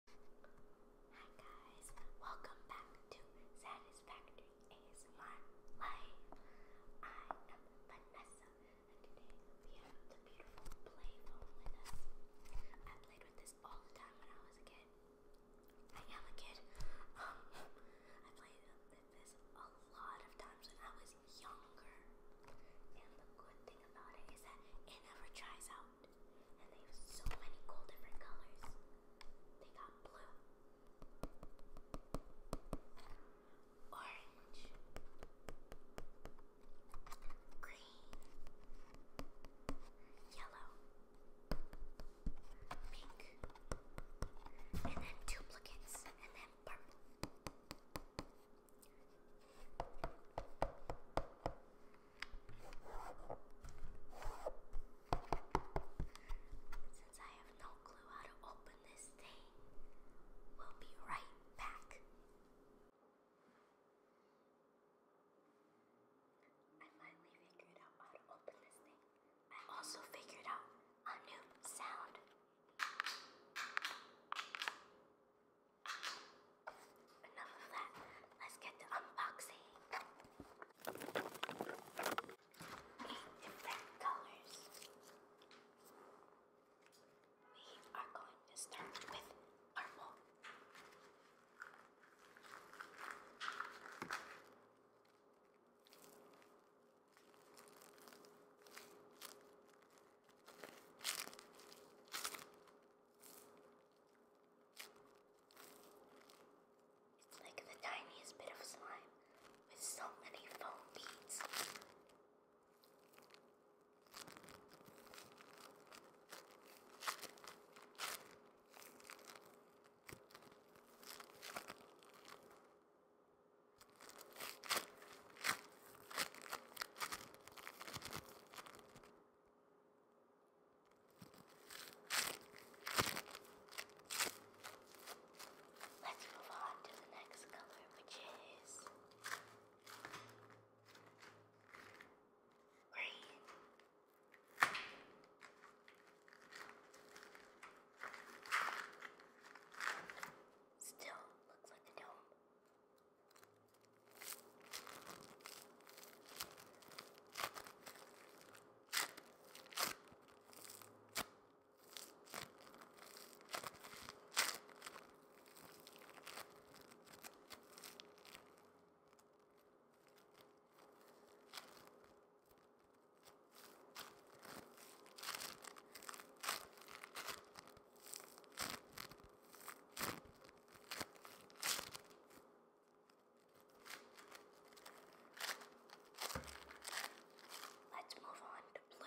Hi guys, welcome back to Satisfactory ASMR I am Vanessa and today we have the beautiful Playphone with us. I played with this all the time when I was a kid. I am a kid. I played with this a lot of times when I was younger. And the good thing about it is that it never dries out. And they have so many cool different colors. They got blue, orange, green, yellow, pink, and then duplicates, and then purple. Since I have no clue how to open this thing, we'll be right back. I finally figured out how to open this thing. I also figured out a new sound. Enough of that. Let's get to unboxing. Eight different colors. We are going to start with purple. Like the tiniest bit of slime with so many foam beads. Let's move on to the next color, which is green. Still looks like a dome. Let's move on to blue.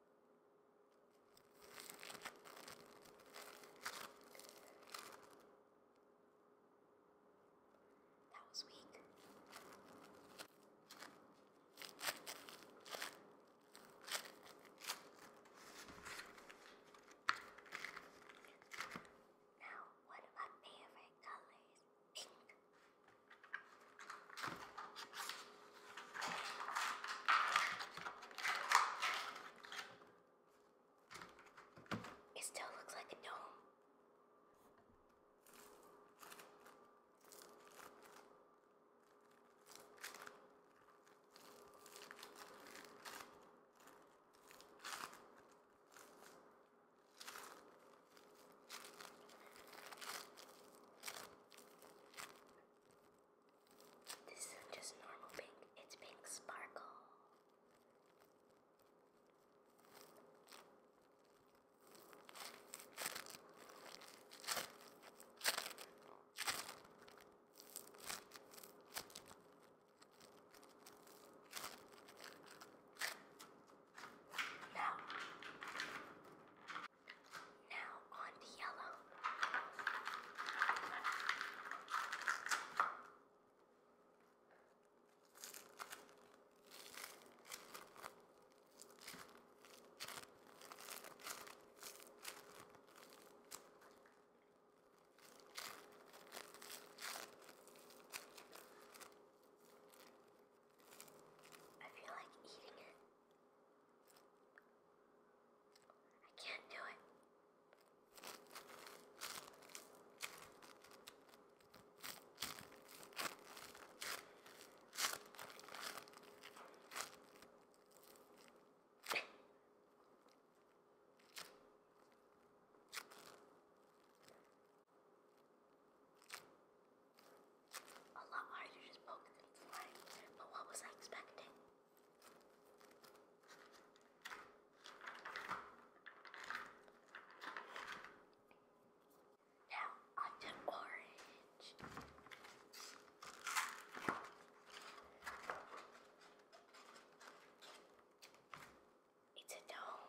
That was weak. Now, one of my favorite colors, pink. It still looks like a dome. This isn't just normal pink, it's pink sparkle. Now, now on to yellow. I feel like eating it. I can't do it. A lot harder to just poke than flying, but what was I expecting? Now on to orange. It's a dome.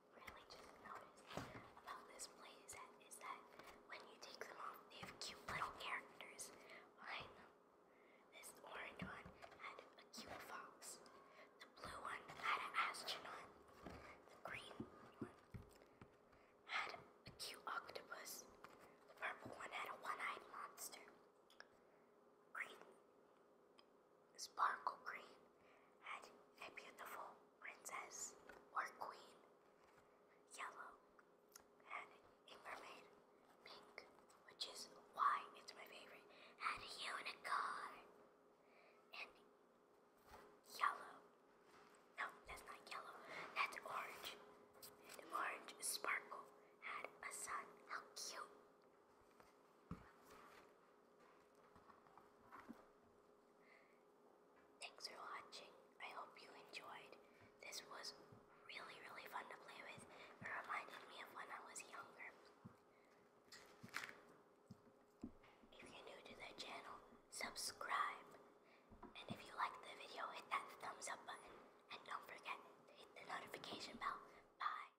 really just noticed about this playset is that when you take them off, they have cute little characters behind them. This orange one had a cute fox. The blue one had an astronaut. The green one had a cute octopus. The purple one had a one-eyed monster. Green Sparkle Green had a beautiful princess or queen. Yellow had a mermaid. Pink, which is why it's my favorite, had a unicorn. And yellow. No, that's not yellow. That's orange. And orange sparkle had a sun. How cute. Thanks for watching. I hope you enjoyed. This was really, really fun to play with. It reminded me of when I was younger. If you're new to the channel, subscribe. And if you like the video, hit that thumbs up button. And don't forget to hit the notification bell. Bye.